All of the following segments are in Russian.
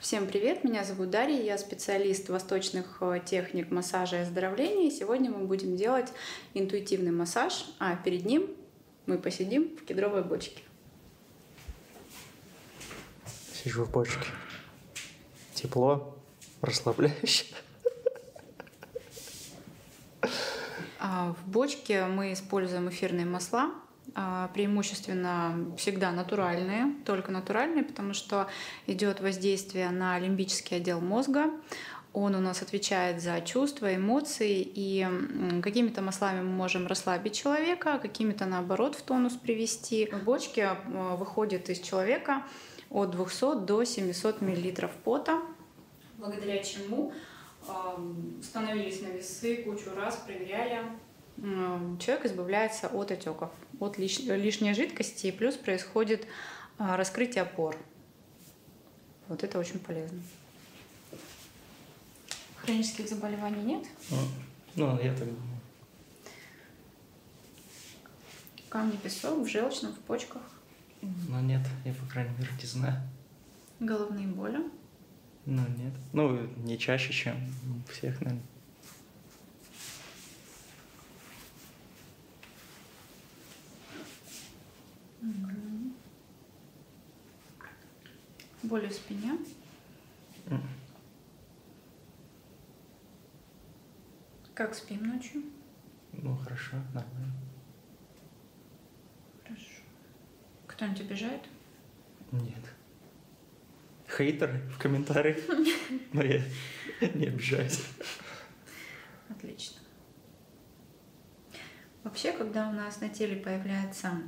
Всем привет, меня зовут Дарья, я специалист восточных э, техник массажа и оздоровления. И сегодня мы будем делать интуитивный массаж, а перед ним мы посидим в кедровой бочке. Сижу в бочке. Тепло, расслабляюще. А в бочке мы используем эфирные масла, а, преимущественно всегда натуральные, только натуральные, потому что идет воздействие на лимбический отдел мозга. Он у нас отвечает за чувства, эмоции, и какими-то маслами мы можем расслабить человека, какими-то наоборот в тонус привести. В бочке а, выходит из человека от 200 до 700 мл пота, благодаря чему становились на весы кучу раз, проверяли, человек избавляется от отеков, от лишней жидкости, и плюс происходит а, раскрытие пор. Вот это очень полезно. Хронических заболеваний нет? А, ну, я так думаю. Камни, песок в желчном, в почках? Ну нет, я, по крайней мере, не знаю. Головные боли? Ну, нет. Ну, не чаще, чем у всех, наверное. Угу. Боли в спине? Mm. Как спим ночью? Ну, хорошо, нормально. Хорошо. Кто-нибудь обижает? Нет хейтер в комментариях. Но я не обижаюсь. Отлично. Вообще, когда у нас на теле появляется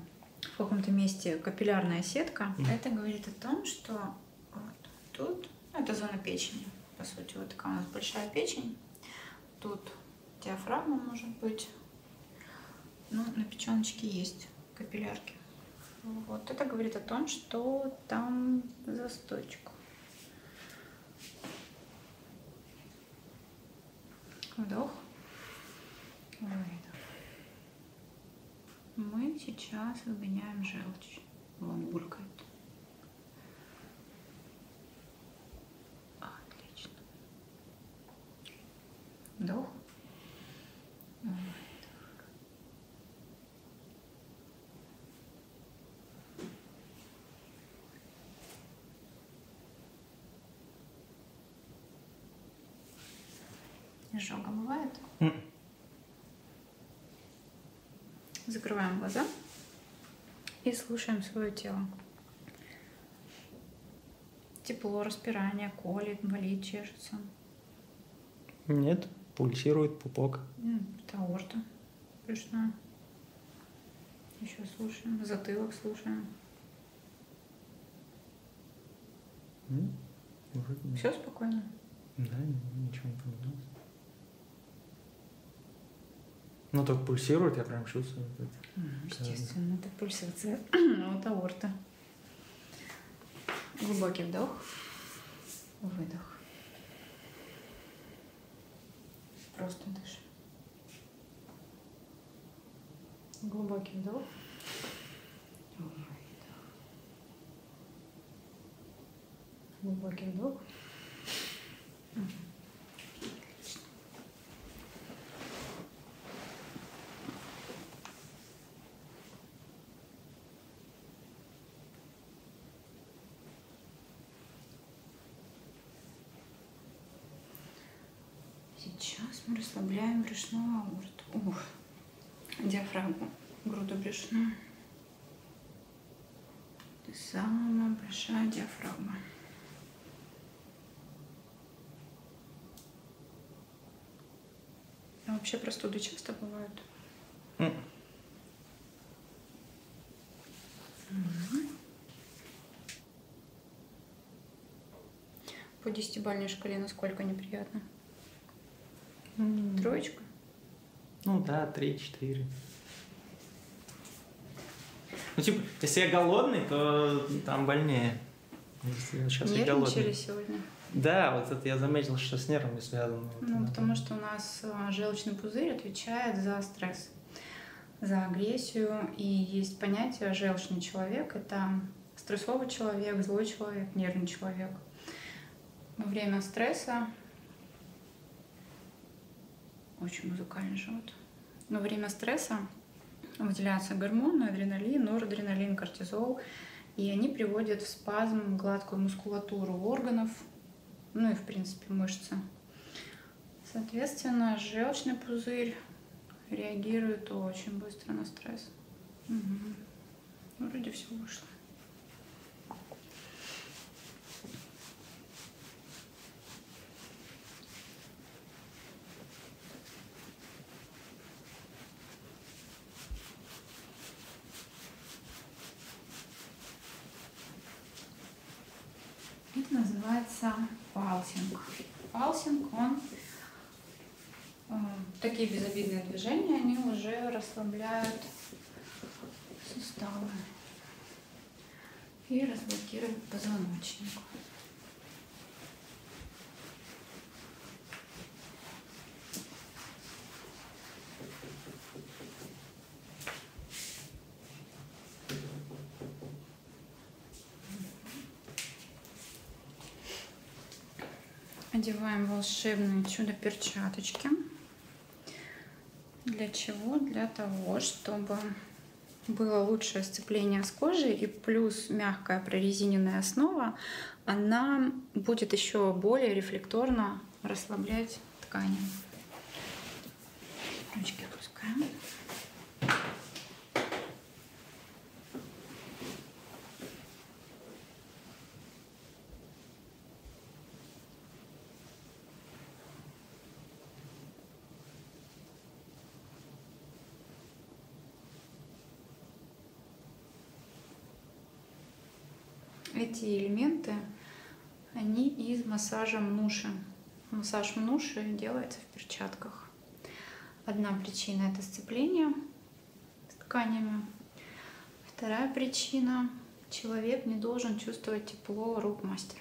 в каком-то месте капиллярная сетка, mm. это говорит о том, что вот тут, ну, это зона печени, по сути, вот такая у нас большая печень, тут диафрагма может быть, ну, на печеночке есть капиллярки. Вот. Это говорит о том, что там застойчик. Вдох. Выдох. Мы сейчас выгоняем желчь. Вон булькает. Отлично. Вдох. Выдох. Изжога бывает? Mm. Закрываем глаза и слушаем свое тело. Тепло, распирание, колет, болит, чешется. Нет, пульсирует пупок. Это аорта брюшная. Еще слушаем, затылок слушаем. М? Вроде Все спокойно? Да, ничего не поменялось. Ну так пульсирует, я прям чувствую. Ну, естественно, это пульсация от аорта. Глубокий вдох, выдох. Просто дышим. Глубокий вдох. Выдох. Глубокий вдох. Сейчас мы расслабляем брюшную аорту, ух, диафрагму, груду брюшную. Это самая большая диафрагма. А вообще простуды часто бывают? Mm. Mm. По десятибальной шкале насколько неприятно? Mm. Троечка? Ну да, три-четыре. Ну, типа, если я голодный, то там больнее. Сейчас Нервничали сегодня? Да, вот это я заметил, что с нервами связано. Ну, вот, потому да. что у нас э, желчный пузырь отвечает за стресс, за агрессию. И есть понятие «желчный человек» — это стрессовый человек, злой человек, нервный человек. Во время стресса очень музыкальный живот. Во время стресса выделяются гормоны, адреналин, норадреналин, кортизол — и они приводят в спазм гладкую мускулатуру органов, ну и в принципе мышцы. Соответственно, желчный пузырь реагирует очень быстро на стресс. Угу. Вроде все вышло. Это называется палсинг. Палсинг, он э, такие безобидные движения, они уже расслабляют суставы и разблокируют позвоночник. Одеваем волшебные чудо-перчаточки. Для чего? Для того, чтобы было лучшее сцепление с кожей и плюс мягкая прорезиненная основа, она будет еще более рефлекторно расслаблять ткани. Ручки опускаем. Эти элементы, они из массажа мнуши. Массаж мнуши делается в перчатках. Одна причина это сцепление с тканями. Вторая причина – человек не должен чувствовать тепло рук мастера.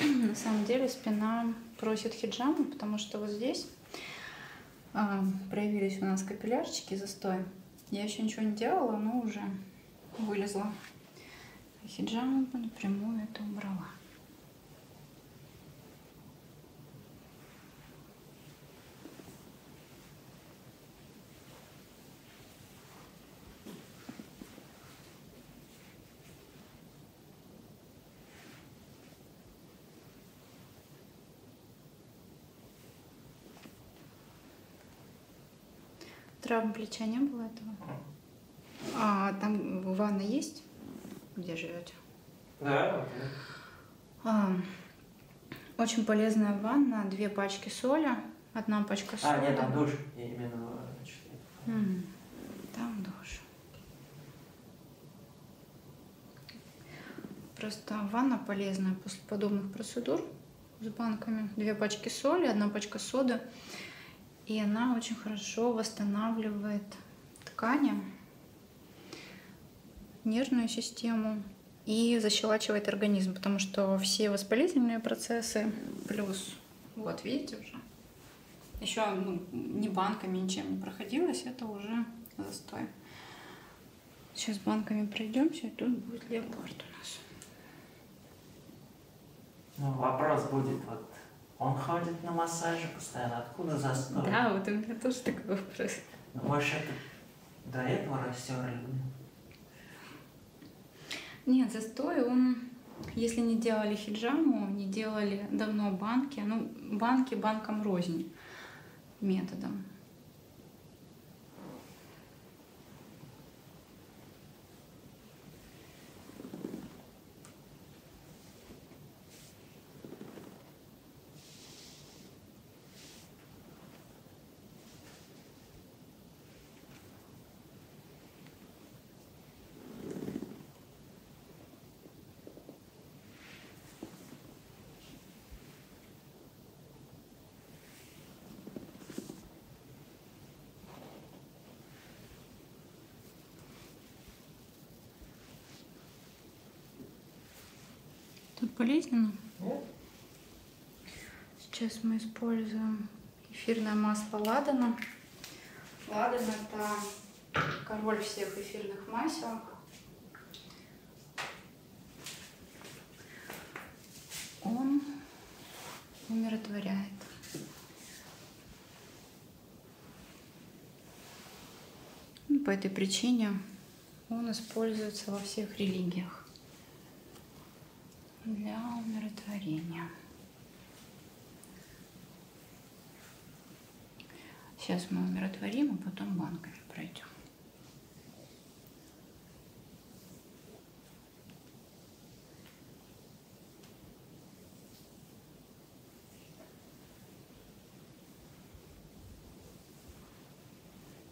На самом деле спина просит хиджама, потому что вот здесь а, проявились у нас капиллярчики застой. Я еще ничего не делала, но уже вылезла. Хиджаму напрямую это убрала. Травм плеча не было этого? А там ванна есть, где живете? Да. А, очень полезная ванна, две пачки соли, одна пачка соли. А, нет, там душ, я именно... Mm, э, там душ. Просто ванна полезная после подобных процедур с банками. Две пачки соли, одна пачка соды. И она очень хорошо восстанавливает ткани, нервную систему, и защелачивает организм, потому что все воспалительные процессы плюс, вот видите уже, еще ну, ни банками ничем не проходилось, это уже застой. Сейчас банками пройдемся, и тут будет леопард у нас. Ну, вопрос будет, вот он ходит на массажи постоянно, откуда застой? Да, вот у меня тоже такой вопрос. Ну, может, это до этого растерли? Нет, застой он, если не делали хиджаму, не делали давно банки, ну, банки банком рознь методом. Тут болезненно? Нет. Сейчас мы используем эфирное масло ладана. Ладан это король всех эфирных масел. Он умиротворяет. Ну, по этой причине он используется во всех религиях для умиротворения. Сейчас мы умиротворим, а потом банками пройдем.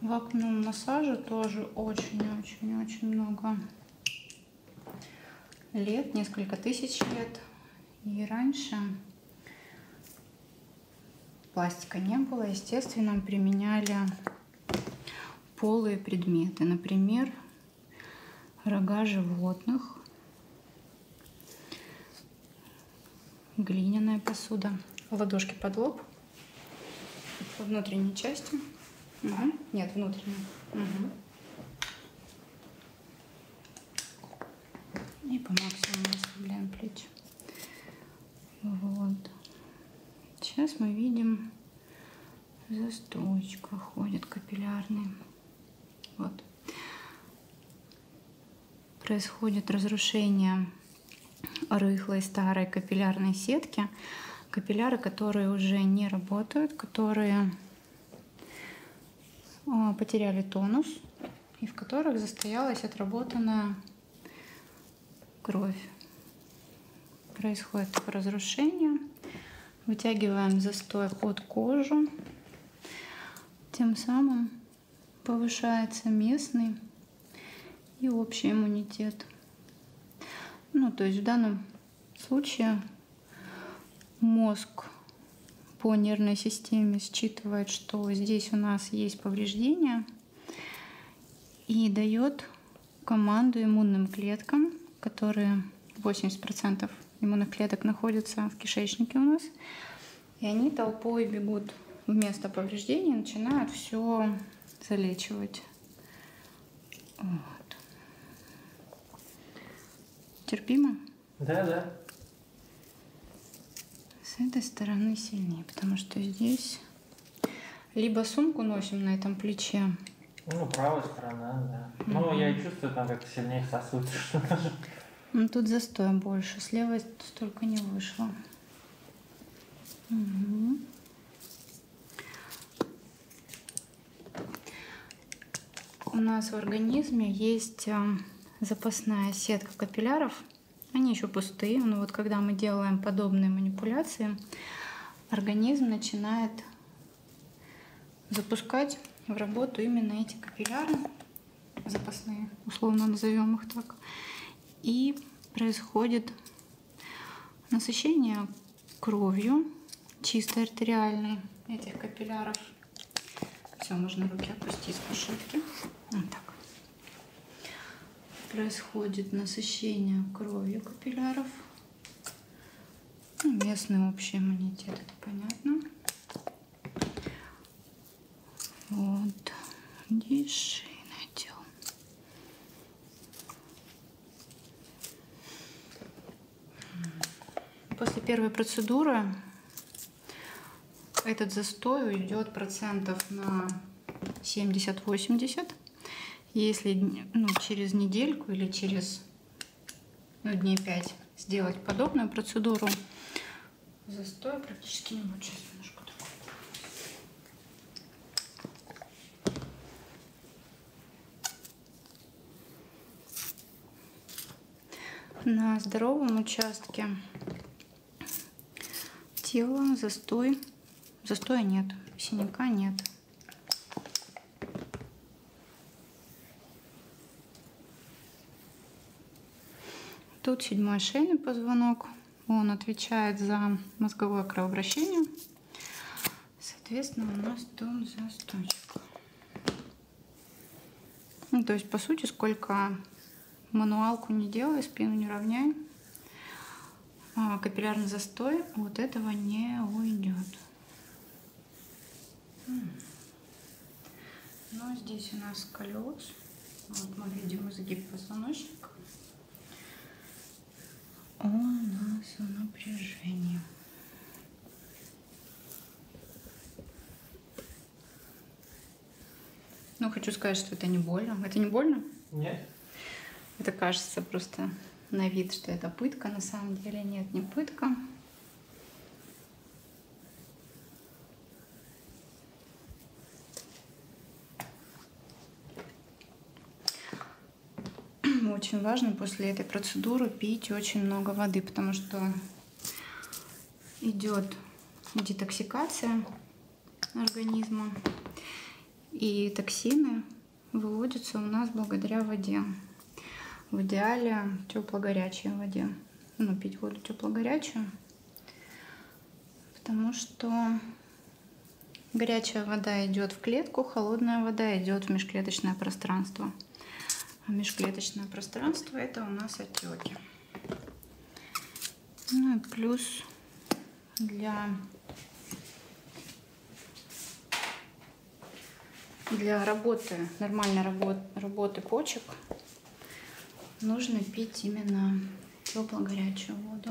вакуумном массаже тоже очень-очень-очень много лет, несколько тысяч лет и раньше. Пластика не было, естественно, применяли полые предметы, например, рога животных, глиняная посуда, ладошки под лоб, по внутренней части, угу. нет, внутренней. Угу. И по максимуму расслабляем плечи. Вот. Сейчас мы видим, застойка ходит капиллярный. Вот. Происходит разрушение рыхлой старой капиллярной сетки. Капилляры, которые уже не работают, которые а, потеряли тонус и в которых застоялась отработанная кровь. Происходит разрушение. Вытягиваем застой под кожу. Тем самым повышается местный и общий иммунитет. Ну, то есть в данном случае Мозг по нервной системе считывает, что здесь у нас есть повреждение и дает команду иммунным клеткам, которые 80% иммунных клеток находятся в кишечнике у нас, и они толпой бегут вместо повреждений, начинают все залечивать. Вот. Терпимо? Да, да. С этой стороны сильнее, потому что здесь либо сумку носим на этом плече. Ну, правая сторона, да. Mm-hmm. Ну, я и чувствую, там как-то сильнее сосуд. Ну, тут застоя больше. С левой столько не вышло. Угу у нас в организме есть э, запасная сетка капилляров. Они еще пустые, но вот когда мы делаем подобные манипуляции, организм начинает запускать в работу именно эти капилляры, запасные, условно назовем их так. И происходит насыщение кровью, чистой артериальной, этих капилляров. Все, можно руки опустить с пушетки. Вот так. Происходит насыщение кровью капилляров. Ну, местный общий иммунитет, это понятно. Вот. Диши надел. После первой процедуры этот застой уйдет процентов на 70-80. Если ну, через недельку или через ну, дней 5 сделать подобную процедуру, застоя практически не будет. Сейчас немножко на здоровом участке тела застой, застоя нет, синяка нет. Тут седьмой шейный позвонок, он отвечает за мозговое кровообращение. Соответственно, у нас тут застойчик. Ну, то есть, по сути, сколько мануалку не делай, спину не равняй, а, капиллярный застой вот этого не уйдет. Ну, здесь у нас колес. Вот мы видим изгиб позвоночника. Он у нас в напряжении. Ну, хочу сказать, что это не больно. Это не больно? Нет. Это кажется просто на вид, что это пытка. На самом деле нет, не пытка. Очень важно после этой процедуры пить очень много воды, потому что идет детоксикация организма. И токсины выводятся у нас благодаря воде. В идеале тепло-горячей воде. Ну, пить воду тепло-горячую. Потому что горячая вода идет в клетку, холодная вода идет в межклеточное пространство межклеточное пространство, это у нас отеки. Ну и плюс для, для работы, нормальной работ, работы почек нужно пить именно тепло-горячую воду.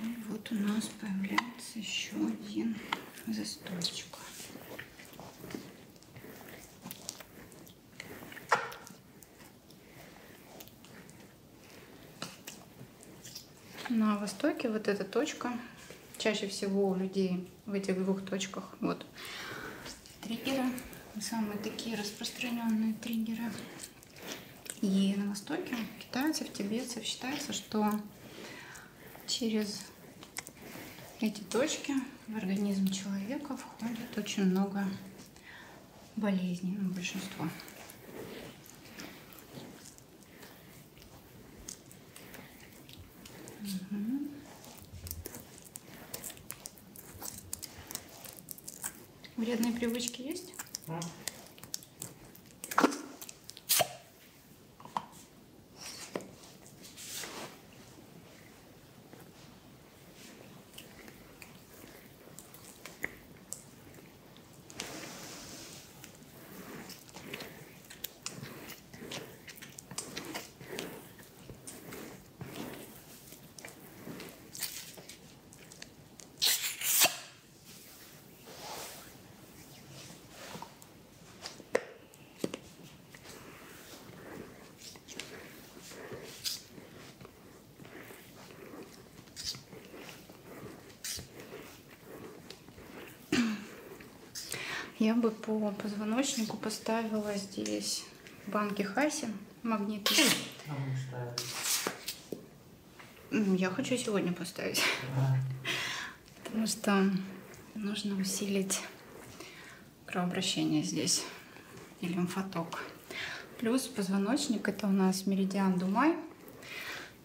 И вот у нас появляется еще один застойчик. На востоке вот эта точка, чаще всего у людей в этих двух точках, вот, триггеры, самые такие распространенные триггеры. И на Востоке китайцев, тибетцев считается, что через эти точки в организм человека входит очень много болезней, ну, большинство. Угу. Вредные привычки есть? А? Я бы по позвоночнику поставила здесь банки Хаси магниты. Я хочу сегодня поставить. Потому что нужно усилить кровообращение здесь и лимфоток. Плюс позвоночник это у нас меридиан Думай.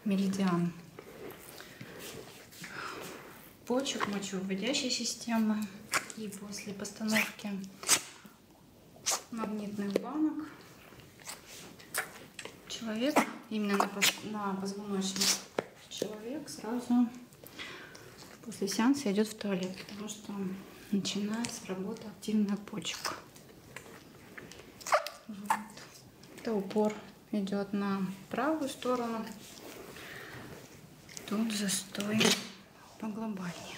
Меридиан почек, мочевыводящей системы. И после постановки магнитных банок. Человек, именно на, на позвоночник, человек сразу после сеанса идет в туалет, потому что начинается работа активных почек. Вот. Это упор идет на правую сторону. Тут застой поглобальнее.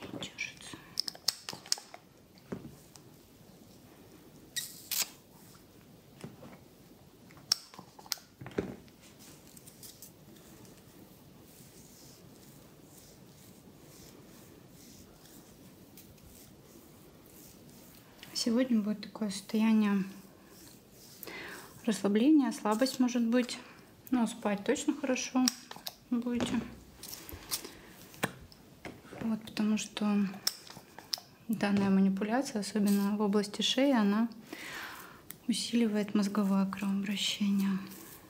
не держится. Сегодня будет такое состояние расслабления, слабость может быть. Но спать точно хорошо будете. Вот, потому что данная манипуляция, особенно в области шеи, она усиливает мозговое кровообращение.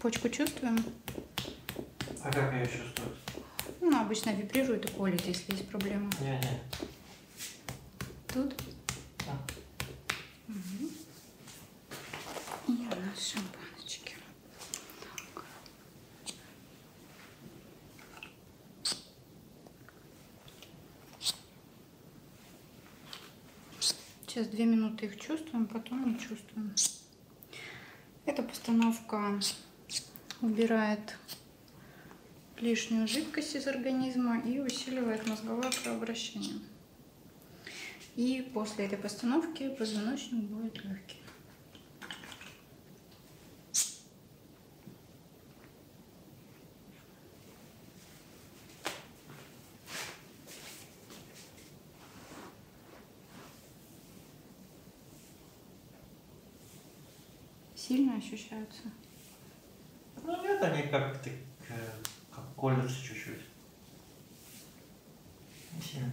Почку чувствуем? А как ее чувствуют? Ну, обычно вибрирует и колет, если есть проблема. Не, не. Тут? Да. Угу. И у нас шампаночки. Так. Сейчас две минуты их чувствуем, потом не чувствуем. Эта постановка убирает лишнюю жидкость из организма и усиливает мозговое кровообращение. И после этой постановки позвоночник будет легкий. Сильно ощущаются? Ну нет, они как, э, как колются чуть-чуть. Не сильно.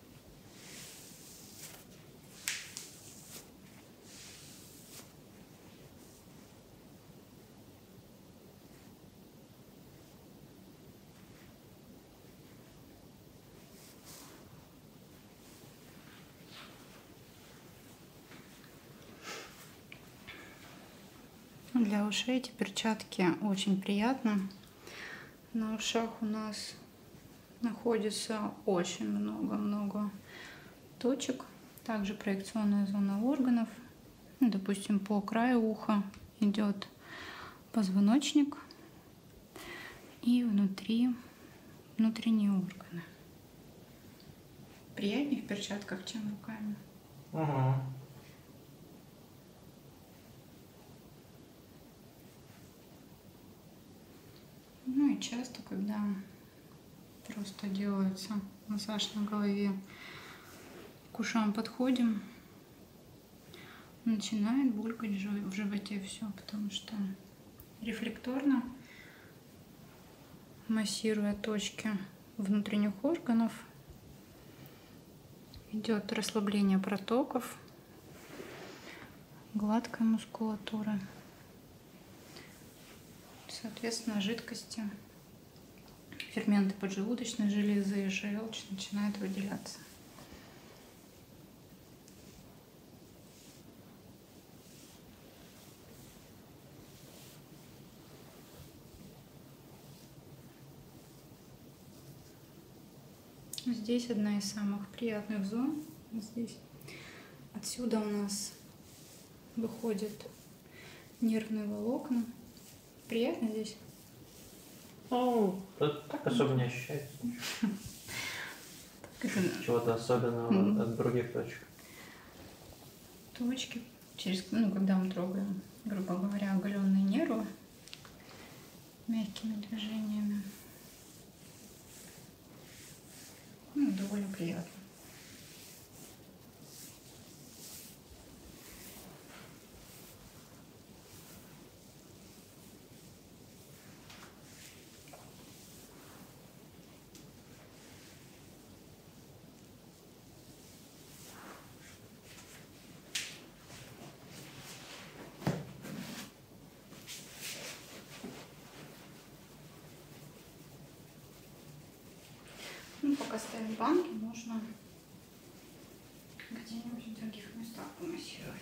Для ушей эти перчатки очень приятно на ушах у нас находится очень много-много точек. Также проекционная зона органов. Ну, допустим, по краю уха идет позвоночник и внутри внутренние органы. Приятнее в перчатках, чем руками. Ага. Ну и часто, когда просто делается массаж на голове, к ушам подходим, начинает булькать в животе все, потому что рефлекторно массируя точки внутренних органов идет расслабление протоков гладкая мускулатура. Соответственно, жидкости, ферменты поджелудочной железы и желчь начинают выделяться. Здесь одна из самых приятных зон. Здесь. Отсюда у нас выходят нервные волокна. Приятно здесь? Ну, тут так особо не ощущается. Чего-то особенного от других точек. Точки, через, ну, когда мы трогаем, грубо говоря, оголенные нервы мягкими движениями. Ну, довольно приятно. Ну, пока ставим банки, можно где-нибудь в других местах помассировать.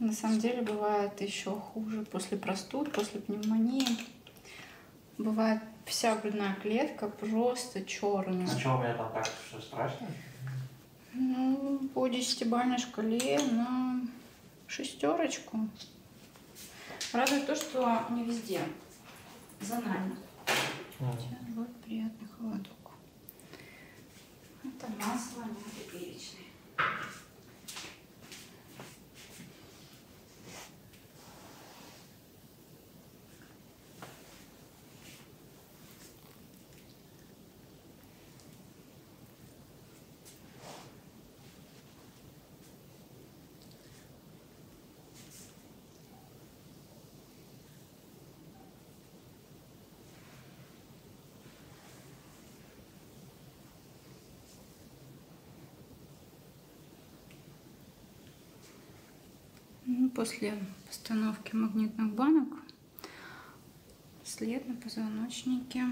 На самом деле бывает еще хуже после простуд, после пневмонии. Бывает вся грудная клетка просто черная. А что у меня там так? Что страшно? Ну, по десятибальной шкале на шестерочку. Радует то, что не везде. За нами. Mm. Сейчас будет приятный холодок. Это масло мягко-перечное. Ну, после постановки магнитных банок след на позвоночнике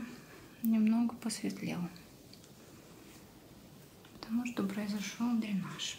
немного посветлел, потому что произошел дренаж.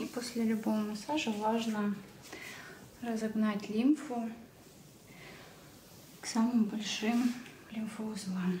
И после любого массажа важно разогнать лимфу к самым большим лимфоузлам.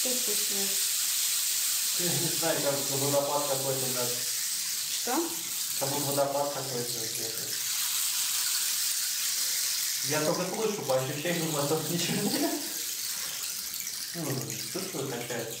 Что вкусное? Ты не знаешь, как будто водопад какой-то у нас. Что? Как будто водопад какой-то Я только слышу, по ощущениям, а тут ничего нет. Ну, чувствую, качается.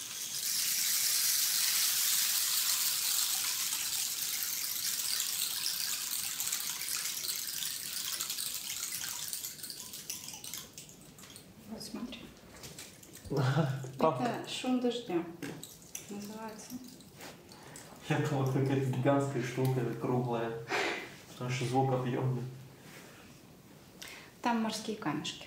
Вот смотри. Это шум дождя называется. Я думал, какая-то гигантская штука, круглая, потому что звук объемный. Там морские камешки.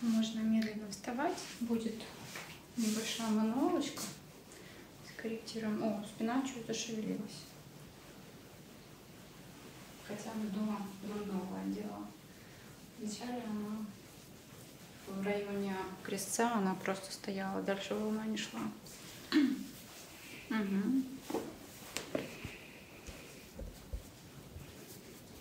Можно медленно вставать. Будет небольшая мануалочка. Скорректируем. О, спина чуть зашевелилась. Хотя бы дома много делала. Вначале она в районе крестца, она просто стояла, дальше волна не шла. угу.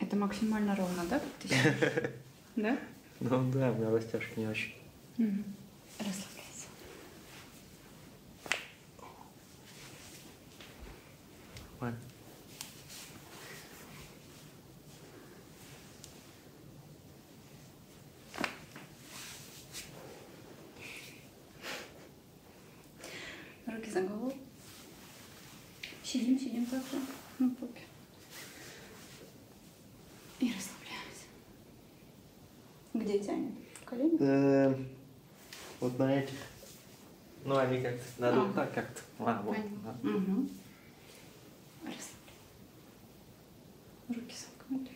Это максимально ровно, да? Да? Ну да, у меня растяжки не очень. Расслабляйся. Ладно. Руки за голову. Сидим, сидим так же на попе. И расслабляемся. Где тянет? Колени? Э, вот на этих. Ну, они как-то, надо вот так как-то. А, вот. Угу. Руки сомкнуть.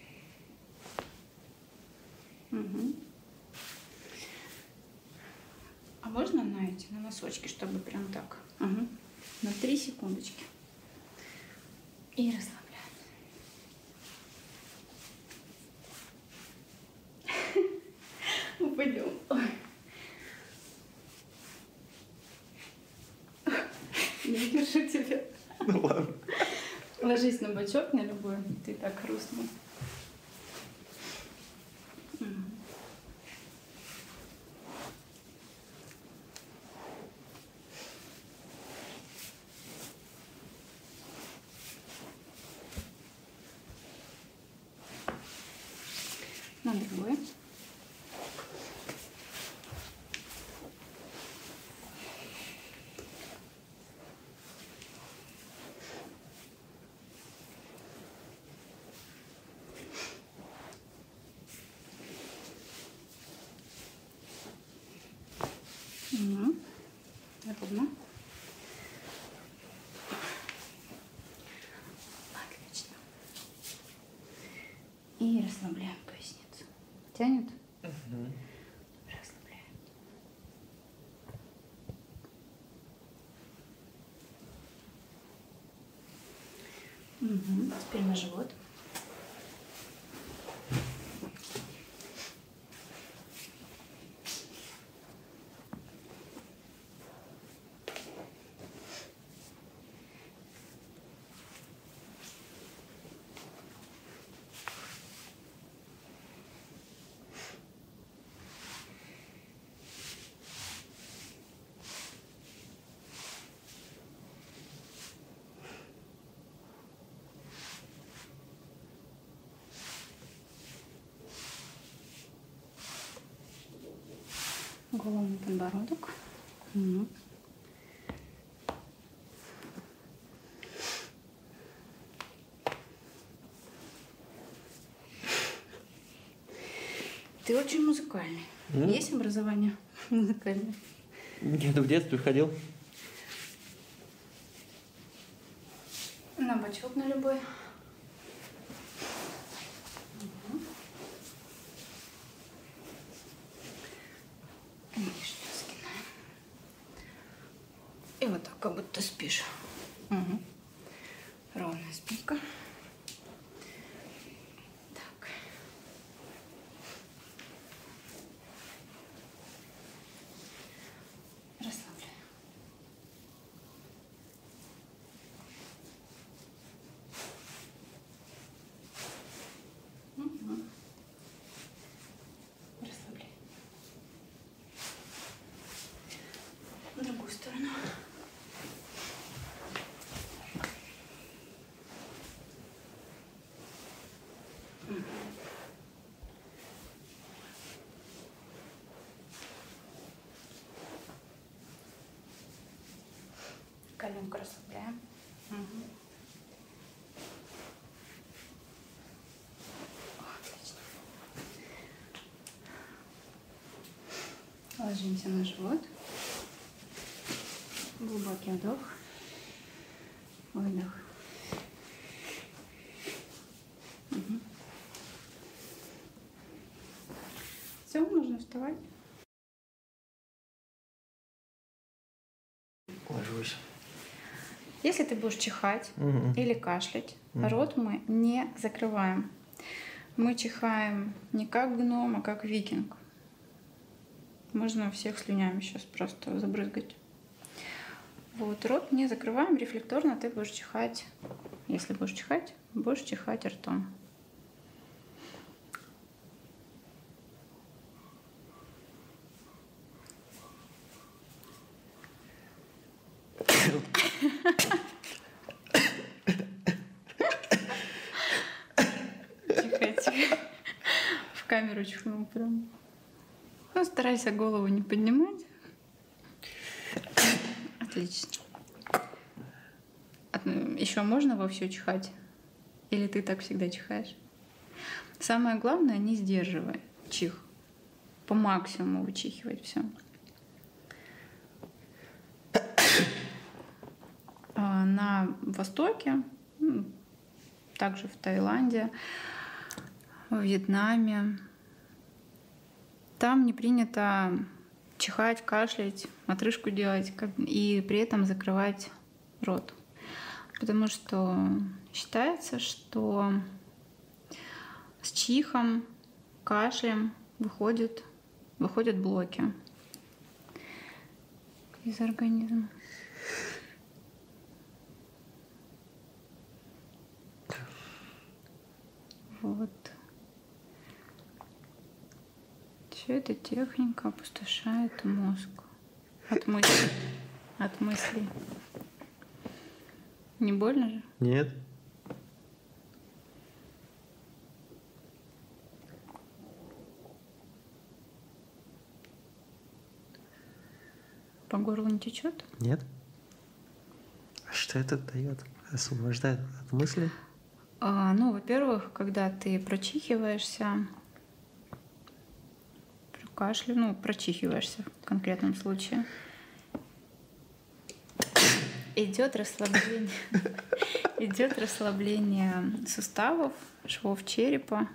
Угу. А можно на эти, на носочки, чтобы прям так? Угу. На 3 секундочки. И расслабляться. Упадем. Я держу тебя. Ну ладно. Ложись на бочок, на любой. Ты так грустный. На другой. Ровно. Ну, отлично. И расслабляем поясницу. Тянет? Угу. Расслабляем. Угу. Теперь на живот голову на подбородок. Угу. Ты очень музыкальный. Mm? Есть образование музыкальное? Нет, в детстве ходил. На бачок на любой. Угу. Нижнюю сгинаем. И вот так, как будто спишь. Угу. Ровная спинка. Так. Расслабляем. Угу. Ну, Расслабляй. В другую сторону. Коленку расслабляем. Угу. О, Ложимся на живот. Глубокий вдох. Выдох. Угу. Все, можно вставать. Ложусь. Если ты будешь чихать угу. или кашлять, угу. рот мы не закрываем. Мы чихаем не как гном, а как викинг. Можно всех слюнями сейчас просто забрызгать. Вот, рот не закрываем, рефлекторно ты будешь чихать. Если будешь чихать, будешь чихать ртом. Тихо, тихо. В камеру чихнул прям. Ну, старайся голову не поднимать. Отлично. Еще можно во все чихать? Или ты так всегда чихаешь? Самое главное, не сдерживай чих. По максимуму вычихивать все. А, на Востоке, также в Таиланде, в Вьетнаме, там не принято чихать, кашлять, отрыжку делать и при этом закрывать род. Потому что считается, что с чихом, кашлем выходят, выходят блоки из организма. Вот. Все эта техника опустошает мозг. От мысли. От мысли. Не больно же? Нет. По горлу не течет? Нет. А что это дает? Освобождает от мысли? А, ну, во-первых, когда ты прочихиваешься, при кашле, ну, прочихиваешься в конкретном случае. Идет расслабление. Идет расслабление суставов, швов черепа.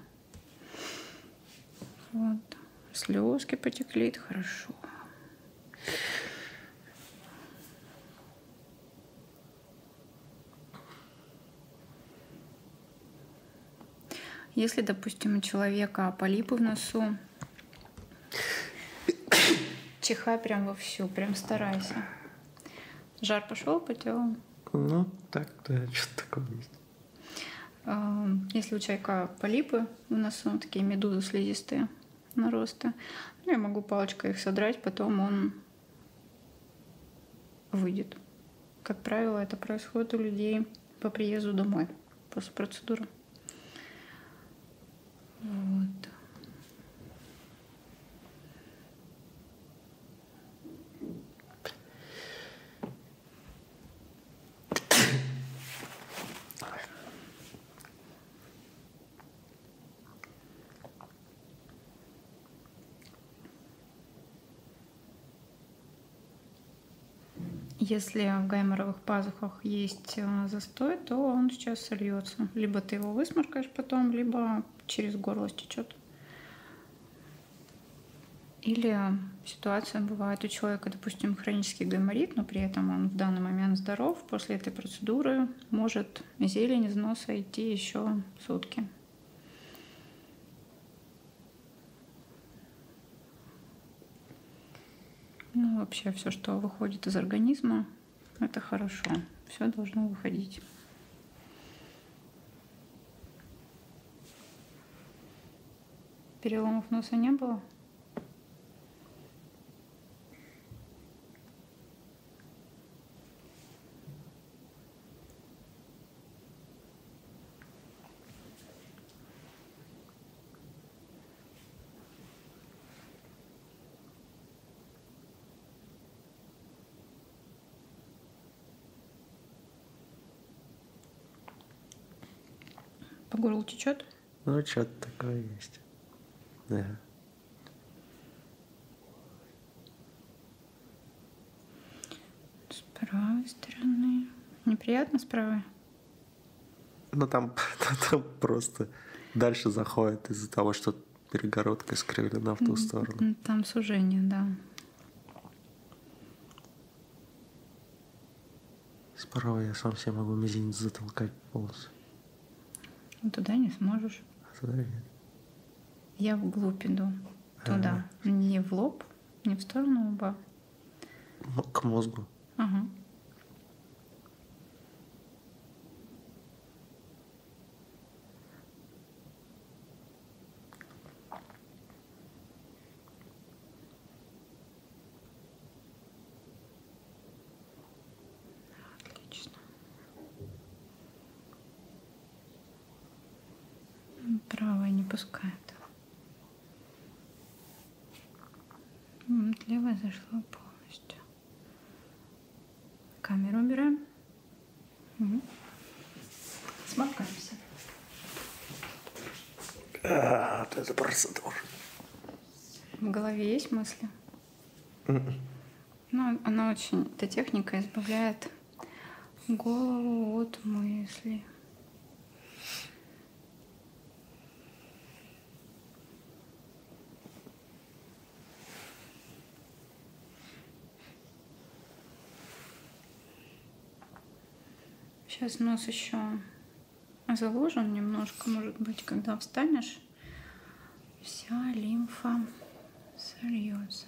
Вот. Слезки потекли, это хорошо. Если, допустим, у человека полипы в носу, чихай прям вовсю, прям старайся. Жар пошел по телу? Ну, так, да, что-то такое есть. А, если у человека полипы в носу, ну, такие медузы слизистые наросты, ну, я могу палочкой их содрать, потом он выйдет. Как правило, это происходит у людей по приезду домой после процедуры. Вот. Если в гайморовых пазухах есть э, застой, то он сейчас сольется. Либо ты его высморкаешь потом, либо через горло стечет. Или ситуация бывает у человека, допустим, хронический гайморит, но при этом он в данный момент здоров. После этой процедуры может зелень из носа идти еще сутки. Ну, вообще все, что выходит из организма, это хорошо. Все должно выходить. Переломов носа не было? По горлу течет? Ну, что-то такое есть. Да. С правой стороны. Неприятно с правой? Ну там, там просто дальше заходит из-за того, что перегородка искривлена в ту сторону. Там сужение, да. Справа я сам себе могу мизинец затолкать полностью. Ну, туда не сможешь. А туда нет. Я вглубь иду туда. А. Не в лоб, не в сторону лба. Ну, к мозгу. Ага. Отлично. Правая не пускает. Вот, левая зашла полностью. Камеру убираем. Угу. Сморкаемся. А, вот это процедура. В голове есть мысли? Mm -mm. Ну, она очень, эта техника избавляет голову от мысли. Сейчас нос еще заложен немножко, может быть, когда встанешь, вся лимфа сольется.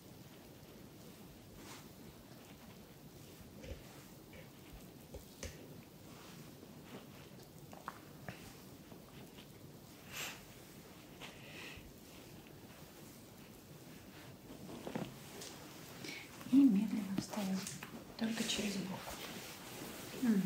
И медленно встаем, только через бок. Угу.